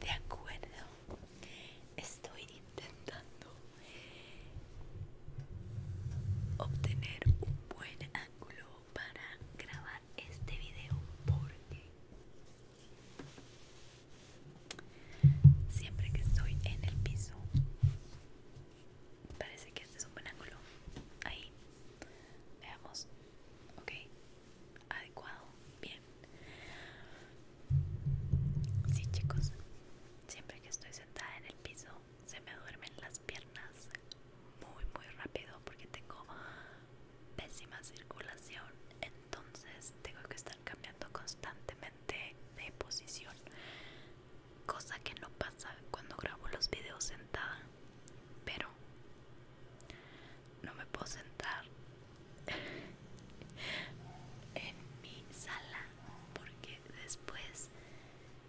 De acuerdo, estoy intentando obtener un buen ángulo para grabar este video porque siempre que estoy en el piso parece que este es un buen ángulo. Ahí, veamos, ok adecuado. Bien. Sí, chicos. Siempre que estoy sentada en el piso, se me duermen las piernas muy, muy rápido porque tengo pésima circulación. Entonces, tengo que estar cambiando constantemente de posición. Cosa que no pasa cuando grabo los videos sentada. Pero no me puedo sentar en mi sala porque después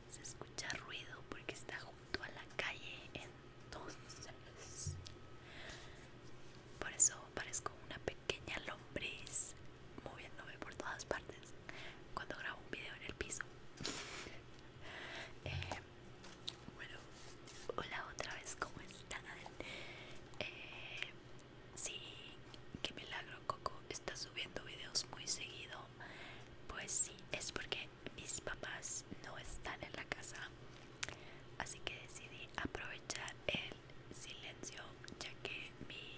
se escucha ruido porque está junto a la calle entonces por eso parezco una pequeña lombriz moviéndome por todas partes cuando grabo un video en el piso em, bueno, hola otra vez, ¿cómo están? Eh, sí, qué milagro Coco está subiendo videos muy seguido. Pues sí, es porque mis papás no están en la casa. Así que decidí aprovechar el silencio ya que mi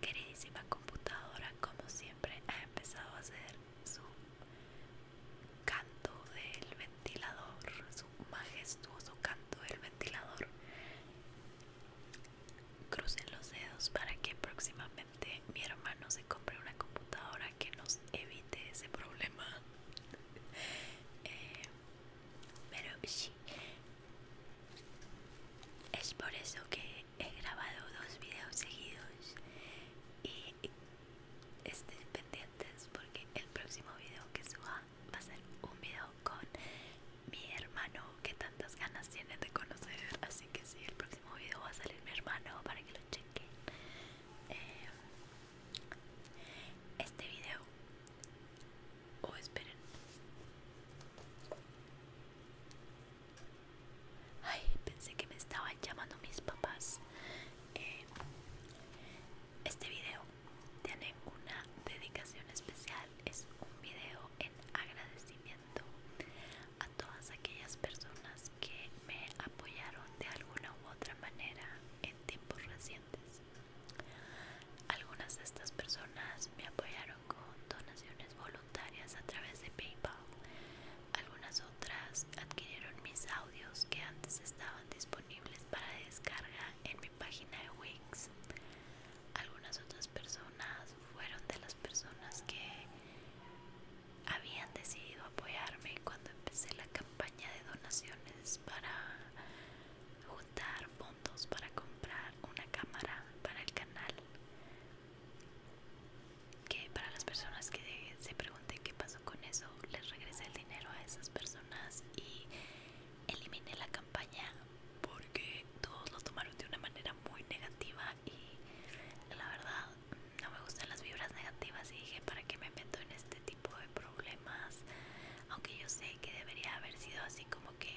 queridísima computadora como siempre ha empezado a hacer su canto del ventilador, su majestuoso canto del ventilador. Crucen los dedos para que próximamente mi hermano se compre una computadora que nos evite ese problema. Eh, pero sí, es por eso que he grabado dos videos seguidos y estén pendientes porque el próximo video que suba va a ser un video con mi hermano que tantas ganas tiene de conocer así que si el próximo video va a salir mi hermano para que lo chequen eh, este video o oh, esperen ay pensé que me estaba Llamando a mis papás este video tiene una dedicación especial es un video en agradecimiento a todas aquellas personas que me apoyaron de alguna u otra manera en tiempos recientes algunas de estas personas me apoyaron con donaciones voluntarias a través de PayPal algunas otras adquirieron mis audios que antes estaban disponibles para descarga en mi página de Wix. Algunas otras personas fueron de las personas que habían decidido apoyarme cuando empecé la campaña de donaciones para juntar fondos para comprar una cámara para el canal que para las personas que se pregunten qué pasó con eso, les regrese el dinero a esas personas y elimine la campaña porque todos lo tomaron de una manera muy negativa y la verdad no me gustan las vibras negativas y dije para qué me meto en este tipo de problemas aunque yo sé que debería haber sido así como que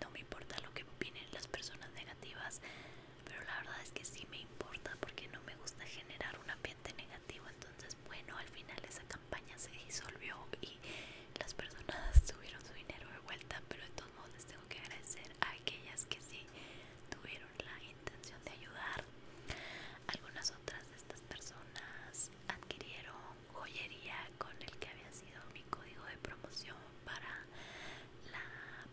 no me importa lo que opinen las personas negativas pero la verdad es que sí me importa porque no me gusta generar un ambiente negativo entonces bueno al final esa campaña se disolvió y las personas tuvieron su dinero de vuelta pero de todos modos les tengo que agradecer a aquellas que sí tuvieron la intención de ayudar algunas otras de estas personas adquirieron joyería con el que había sido mi código de promoción para la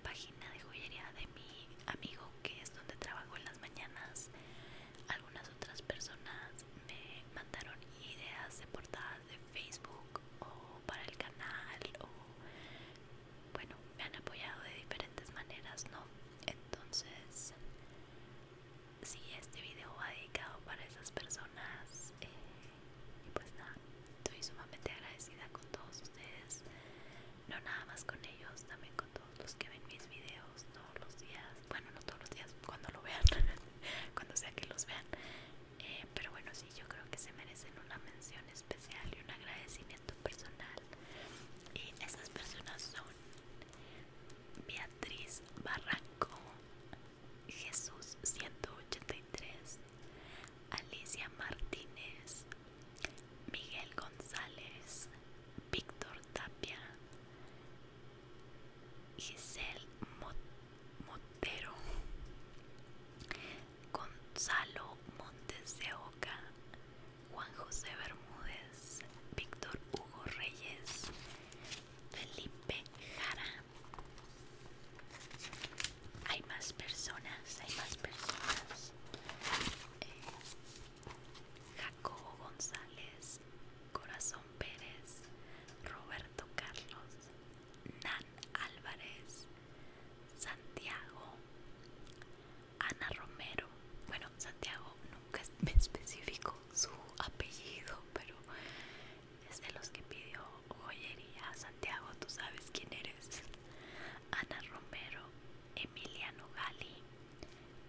página de joyería de mi amigo que es donde trabajo en las mañanas algunas otras personas me mandaron ideas de portadas de Facebook o para el canal o bueno me han apoyado de diferentes maneras no entonces si este video va dedicado para esas personas eh, y pues nada estoy sumamente agradecida con todos ustedes no nada más con ellos, también con todos los que ven mis videos todos los días, bueno no todos los días, cuando lo vean, cuando sea que los vean, eh, pero bueno sí, yo creo que se merecen una mención especial y un agradecimiento personal y esas personas son Beatriz Barranco, Jesús 183, Alicia Martínez, Miguel González, Víctor Tapia, Giselle Montero, Gonzalo Montes de Oca, Juan José Bermúdez, Víctor Hugo Reyes, Felipe Jara, hay más personas, hay más personas. Eh, Jacobo González, Corazón Pérez, Roberto Carlos, Nan Álvarez, Santiago, Ana Romero. Bueno, Santiago nunca me especificó su apellido, pero es de los que pidió joyería. Santiago, tú sabes quién eres. Ana Romero, Emiliano Gali,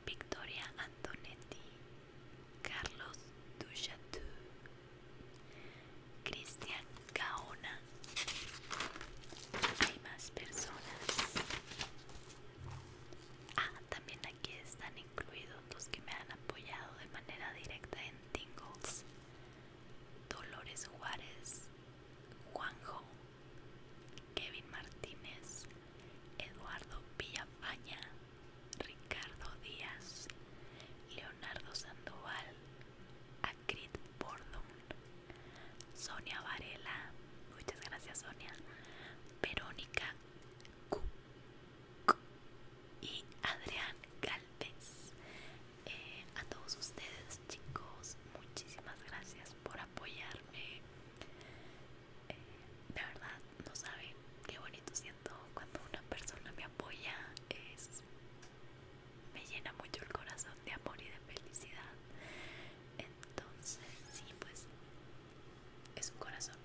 Victoria Antonetti, Carlos Duchatou, Cristian Gaona. Hay más personas. Ah, también aquí están incluidos los que me han apoyado de manera directa en Tingles. Dolores Juárez, Juanjo, Kevin Martínez, Eduardo Villafaña, Ricardo Díaz, Leonardo Sandoval, Acrit Bordon, Sonia Varela, muchas gracias Sonia, Verónica Q, y Adrián Galvez. Eh, a todos ustedes chicos muchísimas gracias por apoyarme de eh, verdad no saben qué bonito siento cuando una persona me apoya me llena mucho el corazón de amor y de felicidad entonces sí pues es un corazón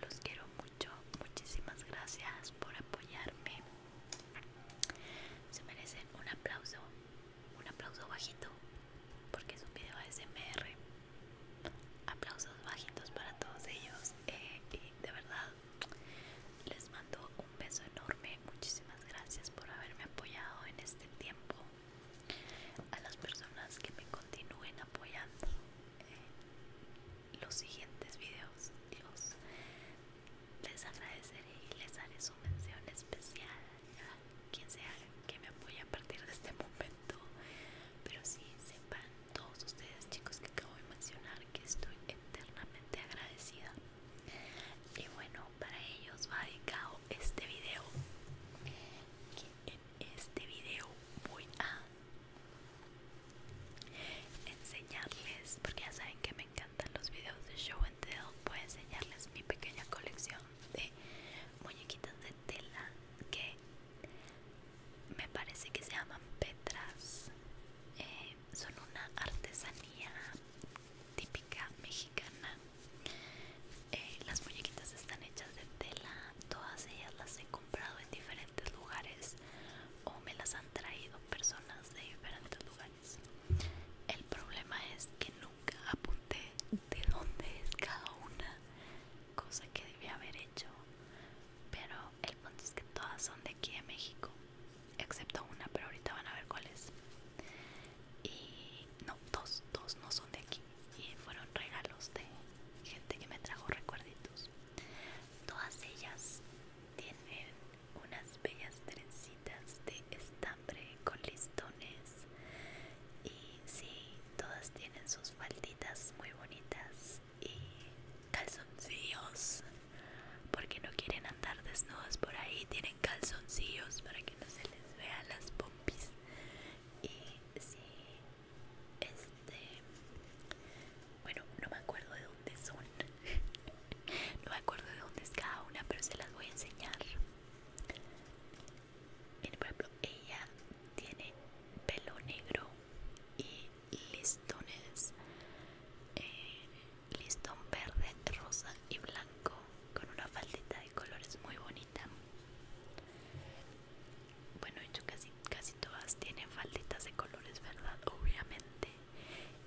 los quiero mucho muchísimas gracias por apoyarme se merecen un aplauso un aplauso bajito porque es un video ASMR aplausos bajitos para todos ellos eh, y de verdad les mando un beso enorme muchísimas gracias por haberme apoyado en este tiempo a las personas que me continúen apoyando eh, los siguientes videos dios les agradeceré y les haré su mención especial quien sea que me apoye a partir de este momento. Pero sí, sepan todos ustedes chicos que acabo de mencionar que estoy eternamente agradecida. Y bueno, para ellos va dedicado este video. Que en este video voy a enseñarles, porque ya saben que me encanta en los videos de show and tell voy a enseñarles mi pequeña colección de muñequitas de tela que me parece que se llaman petras eh, son una artesanía típica mexicana eh, las muñequitas están hechas de tela todas ellas las he comprado en diferentes lugares o me las han traído personas de diferentes lugares el problema es que nunca apunté de dónde es cada una, cosa que debía haber hecho. Pero el punto es que todas son de aquí de México, excepto una, pero ahorita van a ver cuál es. Y no, dos, dos no son de aquí. Y fueron regalos de gente que me trajo recuerditos. Todas ellas tienen unas bellas trencitas de estambre con listones y sí, todas tienen sus falditas muy bonitas y calzoncillos porque no quieren andar desnudos por ahí, tienen calzoncillos para que no se les vea las pompis y sí, este, bueno, no me acuerdo de dónde son no me acuerdo de dónde es cada una, pero se las voy a enseñar. Miren, por ejemplo, ella tiene pelo negro y listones, eh, listón verde, rosa y blanco, con una faldita de colores muy bonita. Bueno, hecho casi, casi todas tienen falditas de colores, ¿verdad? Obviamente.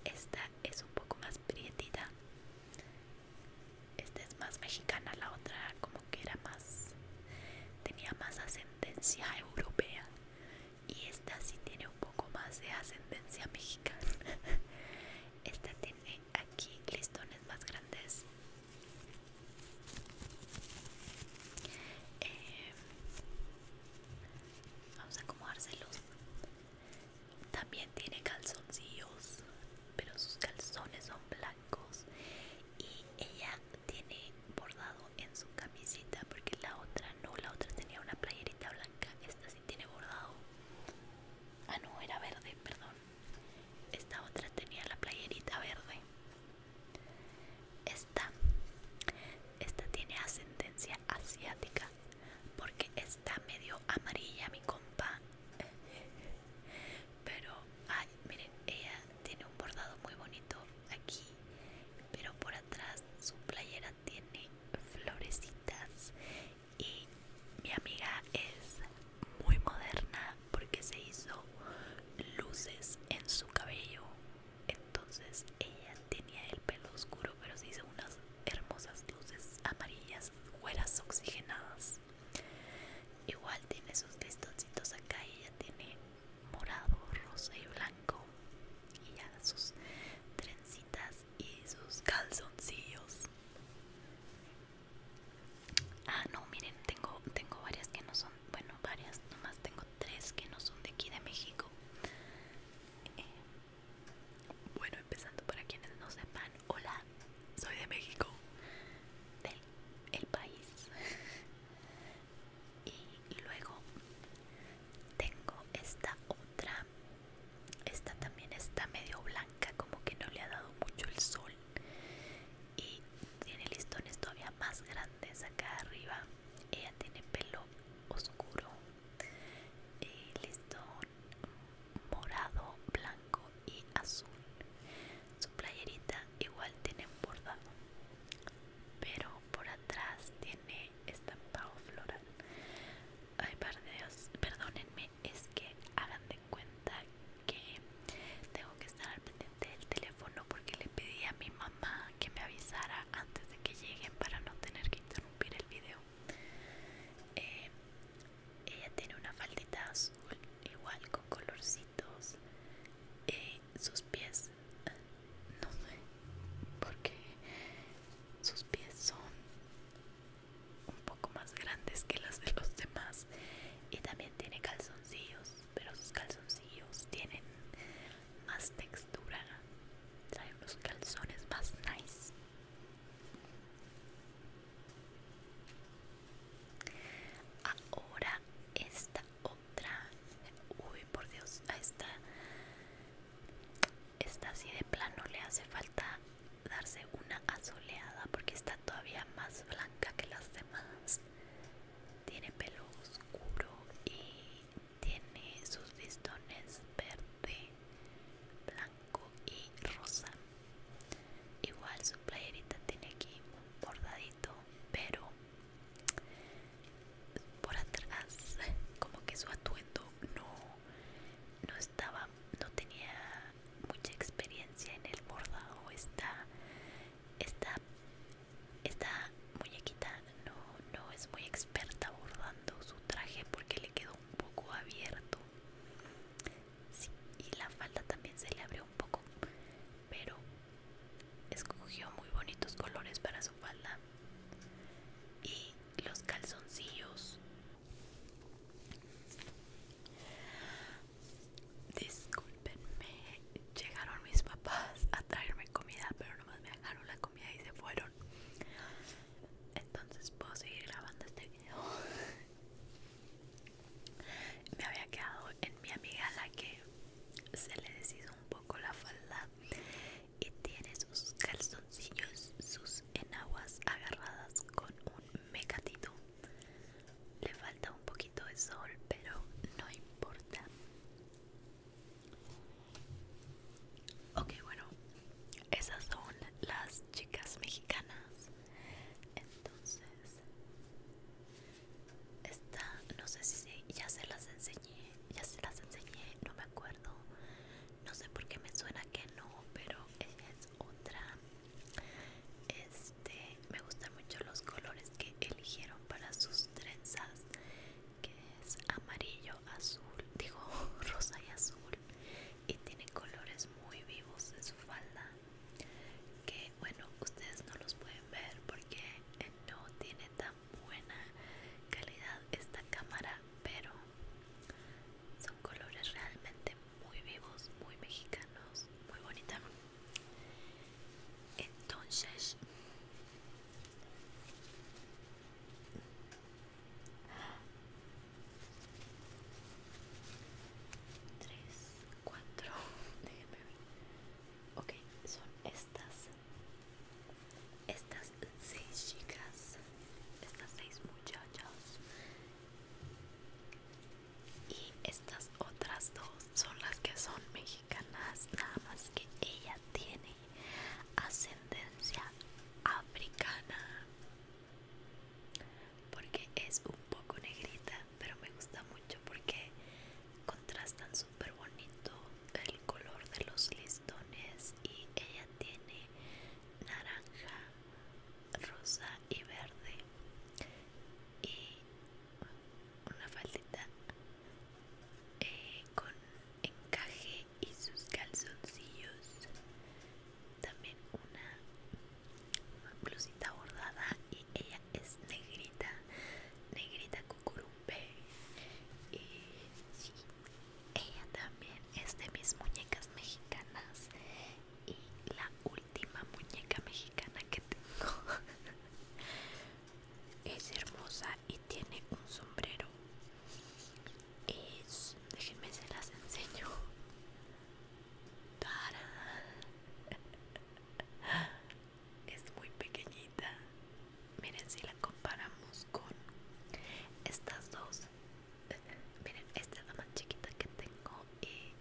Esta es un poco más prietita. Esta es más mexicana, la otra como que era más... tenía más ascendencia europea. Y esta sí tiene un poco más de ascendencia mexicana. Esta tiene aquí listones más grandes. Eh, vamos a acomodárselos también tiene calzoncillos, pero sus calzones son blancos y ella tiene bordado en su camisita porque la otra no, la otra tenía una playerita blanca, esta sí tiene bordado. Ah, no, era verde, perdón. Esta otra tenía la playerita verde. Esta, esta tiene ascendencia asiática porque está medio amarilla mi compa pero ay miren ella tiene un bordado muy bonito aquí pero por atrás su playera tiene florecitas y mi amiga es muy moderna porque se hizo luces en su cabello entonces ella tenía el pelo oscuro, pero se hizo unas hermosas luces amarillas, güeras oxigenadas. Igual tiene sus listoncitos acá y ella tiene morado, rosa y blanco. Y ya sus trencitas y sus calzoncillos. Ah, no, miren, tengo, tengo varias que no son, bueno, varias, nomás tengo tres que no son de aquí de México. Eh, bueno, empezando para quienes no sepan, hola, soy de México, del el país. y luego tengo esta otra. Esta también está medio blanca, como que no le ha dado mucho el sol. Y tiene listones todavía más grandes acá arriba. Ella tiene pelo oscuro y eh, listón morado, blanco y azul. Su playerita igual tiene bordado, pero por atrás tiene estampado floral. Ay, par perdónenme, es que hagan de cuenta que tengo que estar al pendiente del teléfono porque le pedí a mi mamá que me avisara antes de que lleguen para no tener que el video. Eh, ella tiene una faldita azul, igual con colorcitos. Eh, sus pies, no sé, porque sus pies son un poco más grandes que las de los demás. Y también tiene calzoncillos, pero sus calzoncillos tienen más textura trae unos calzones más nice ahora esta otra uy por dios a esta esta así de plano le hace falta darse una asoleada porque está todavía más blanca que las demás tiene pelo oscuro y tiene sus listones verde, blanco y rosa. Igual su playerita tiene aquí un bordadito, pero por atrás como que su atuendo no, no estaba, no tenía mucha experiencia en el bordado. Está, está esta muñequita no, es muy experta bordando su traje porque le quedó un poco abierto. Sí, y la falda también se le abrió un poco, pero escogió muy bonitos colores para su falda. Y los calzoncillos. Disculpenme, llegaron mis papás a traerme comida, pero nomás me dejaron la comida y se fueron. Entonces puedo seguir grabando este video. Me había quedado en mi amiga la que se le deshizo un poco la falda y tiene sus calzoncillos, sus enaguas agarradas con un megatito Le falta un poquito de sol, pero no importa. Ok, bueno, esas son las chicas mexicanas. Entonces, esta, no sé si ya se las enseñé, ya se las enseñé, no me acuerdo. No sé por qué me suena que no, pero es otra. Este, me gustan mucho los colores que eligieron para sus trenzas que es amarillo, azul, digo rosa y azul y tiene colores muy vivos en su falda que bueno ustedes no los pueden ver porque eh, no tiene tan buena calidad esta cámara pero son colores realmente muy vivos muy mexicanos muy bonita entonces Tres, cuatro, déjenme ver. Ok, son estas. Estas seis chicas. Estas seis muchachas. Y estas otras dos son las que son mexicanas nada más que ella tiene ascendencia africana porque es un poco negrita, pero me gusta mucho porque contrastan súper bonito el color de los listones y ella tiene naranja, rosa y verde y una faldita eh, con encaje y sus calzoncillos también una blusita bordada y ella es negrita negrita cucurumbe y sí, ella también es de mis muñecas mexicanas y la última muñeca mexicana que tengo es hermosa y tiene un sombrero es déjenme se las enseño para es muy pequeñita miren si la comparamos con estas dos miren esta es la más chiquita que tengo y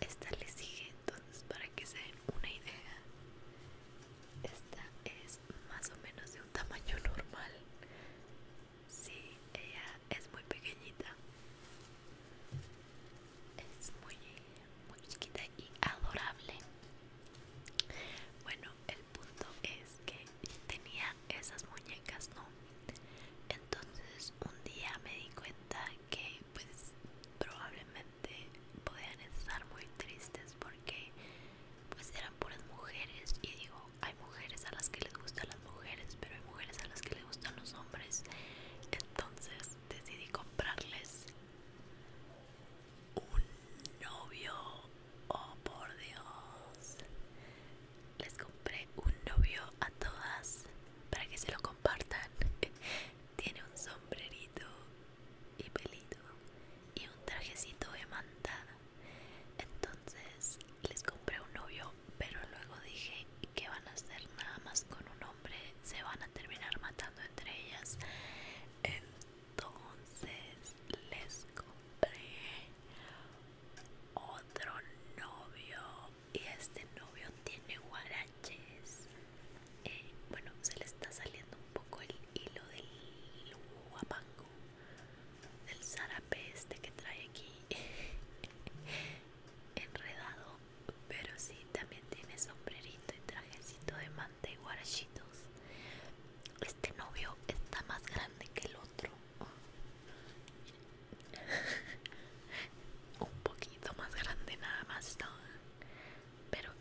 esta le sigue entonces para que se den una idea esta es más o menos de un tamaño normal. Sí, ella es muy pequeñita. Es muy, muy chiquita y adorable. Bueno, el punto es que tenía esas muñecas, ¿no? Entonces un día me di cuenta que pues probablemente podían estar muy tristes porque pues eran puras mujeres y digo hay mujeres a las que les gustan las mujeres pero hay mujeres a las que les gustan los hombres entonces decidí comprarles un novio oh por dios les compré un novio a todas para que se lo compartan tiene un sombrerito y pelito y un trajecito de manta. Entonces les compré un novio, pero luego dije que van a hacer nada más con un hombre, se van a terminar matando entre ellas. Entonces les compré otro novio y este novio tiene guaraches eh, bueno se le está saliendo un poco el hilo del guapango del zarape este que trae aquí enredado pero sí también tiene sombrerito y trajecito de manta y guarachitos este novio está más grande que el otro un poquito más grande nada más pero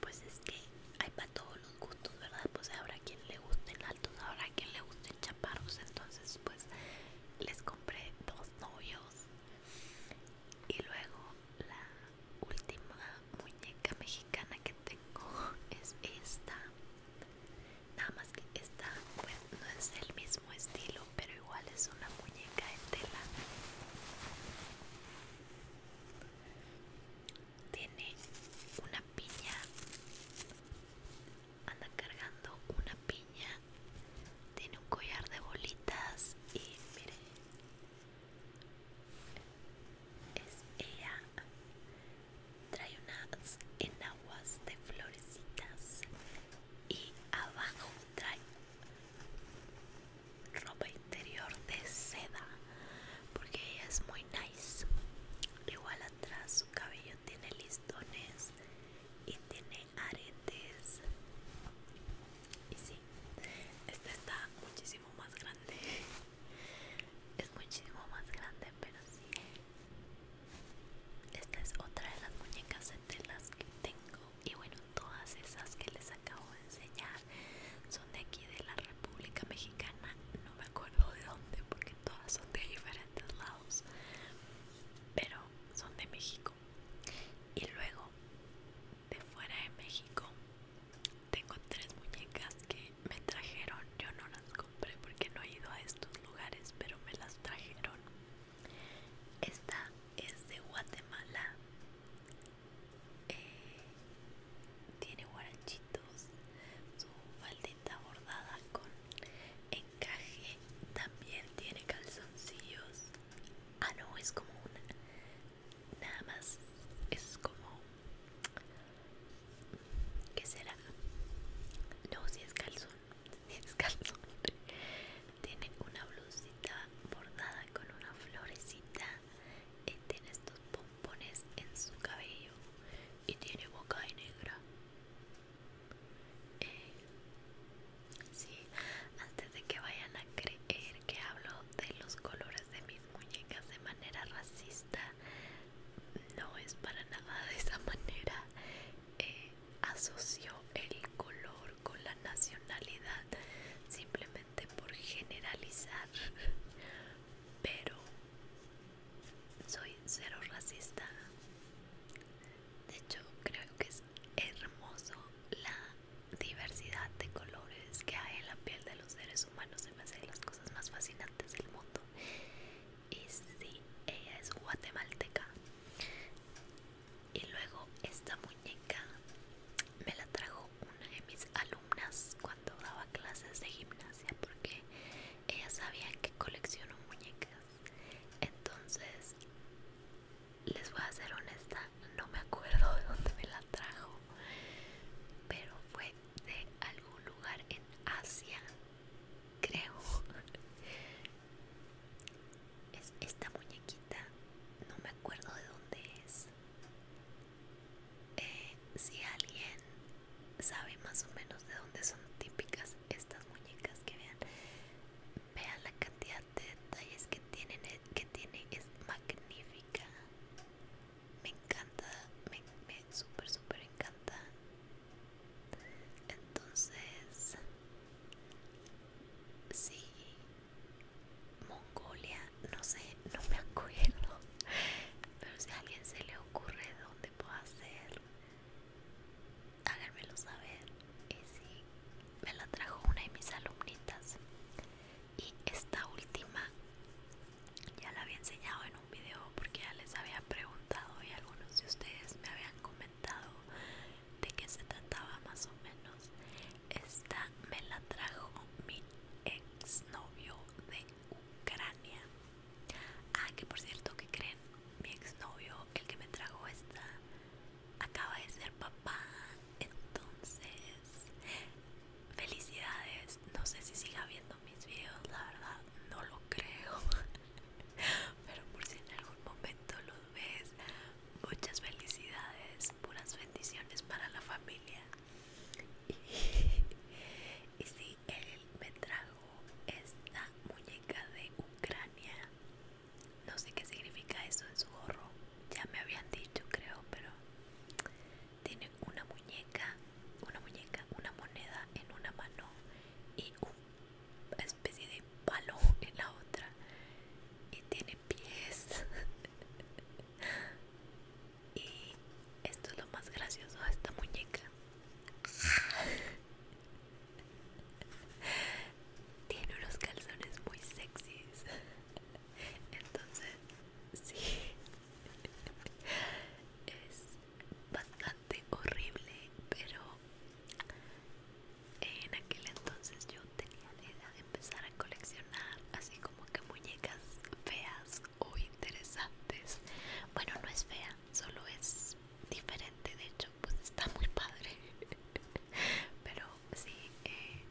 pues es que hay para todos los gustos, ¿verdad? Pues habrá quien le gusten altos, habrá quien le gusten chaparros, entonces pues les compré dos novios. Y luego la última muñeca mexicana que tengo es esta. Nada más que esta no es el mismo estilo, pero igual es una muñeca de tela. Tiene una piña. Anda cargando una piña. Tiene un collar de bolitas. Y mire. Es ella. Trae unas enaguas de florecitas. Y abajo trae ropa interior de seda porque ella es muy nice igual atrás su cabello tiene listones y tiene aretes y sí esta está muchísimo más grande es muchísimo más grande pero sí esta es otra de las muñecas de telas que tengo y bueno todas esas que les acabo de enseñar son de aquí de la República Mexicana no me acuerdo de dónde porque todas son de diferentes lados pero son de México y luego de fuera de México tengo tres muñecas que me trajeron yo no las compré porque no he ido a estos lugares pero me las trajeron esta es de Guatemala eh, tiene guaranchitos su faldita bordada con encaje, también tiene calzoncillos. Ah, no, es como una. Nada más, es como. ¿Qué será? No, si es calzón, si es calzón. Tiene una blusita bordada con una florecita y tiene estos pompones en su cabello y tiene boca de negra. Eh, antes de que vayan a creer que hablo de los colores de mis muñecas de manera racista, no es para nada de esa manera. Eh, asoció el color con la nacionalidad simplemente por generalizar pero soy cero racista de hecho creo que es hermoso la diversidad de colores que hay en la piel de los seres humanos se me hace las cosas más fascinantes del mundo y si ella es guatemalteca y luego esta muñeca me la trajo una de mis alumnas cuando daba clases de gimnasia porque ella sabía que colecciono muñecas entonces les voy a ser honesta no me acuerdo de dónde me la trajo pero fue de algún lugar en Asia creo es esta muñequita no me acuerdo de dónde es eh, si alguien sabe más o menos de dónde son típicas estas muñecas que vean vean la cantidad de detalles que tienen eh, que tiene es magnífica me encanta me, me súper súper encanta entonces sí Mongolia, no sé, no me acuerdo. Pero si a alguien se le ocurre dónde puedo hacer, háganmelo saber. Y me la trajo una de mis alumnitas. Y esta última ya la había enseñado en un video porque ya les había preguntado y algunos de ustedes me habían comentado de qué se trataba más o menos. Esta me la trajo mi exnovio de Ucrania. Ah, que por cierto, ¿qué creen? Mi exnovio, el que me trajo esta, acaba de ser papá. Entonces, felicidades. No sé si siga viendo mis videos, la verdad, no lo creo. Pero por si en algún momento lo ves. Muchas felicidades, puras bendiciones para la familia. Y, si, él me trajo esta muñeca de Ucrania. No sé qué significa eso en su gorro. Ya me habían dicho, creo, pero tiene una muñeca, una muñeca, una moneda en una mano y una especie de palo en la otra y tiene pies y esto es lo más gracioso de esta muñeca tiene unos calzones muy sexys entonces sí es bastante horrible pero en aquel entonces yo tenía la idea de empezar a coleccionar así como que muñecas feas o interesantes. Bueno, no es fea, solo es diferente, de hecho, pues está muy padre. Pero sí, eh,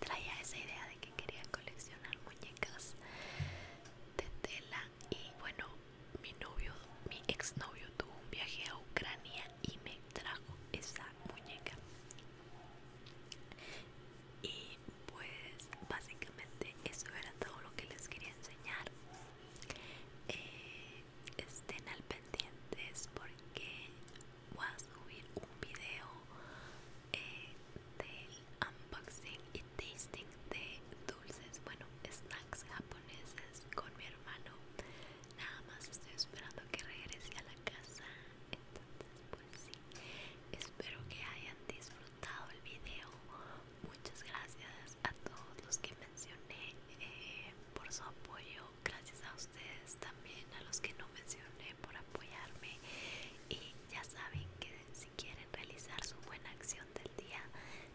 traía esa idea de que quería coleccionar muñecas de tela y bueno, mi novio, mi exnovio tuvo un viaje a Ucrania y me trajo esa muñeca y pues básicamente eso era todo lo que les quería enseñar eh, estén al pendientes porque voy a subir un video eh, del unboxing y tasting de dulces bueno snacks japoneses con mi hermano nada más estoy esperando que regrese a la casa entonces pues sí espero que hayan disfrutado el video muchas gracias a todos los que mencioné eh, por su apoyo gracias a ustedes también a los que no mencioné por apoyarme y ya saben que si quieren realizar su buena acción del día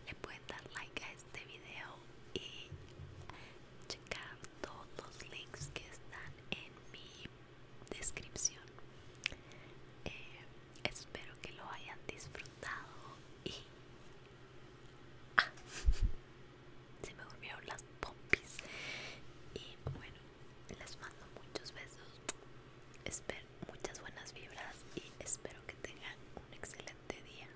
le pueden dar like a este video y checar todos los links que están en mi descripción. Eh, espero que lo hayan disfrutado y... Ah, se me durmieron las pompis. Y bueno, les mando muchos besos. Espero muchas buenas vibras y espero que tengan un excelente día.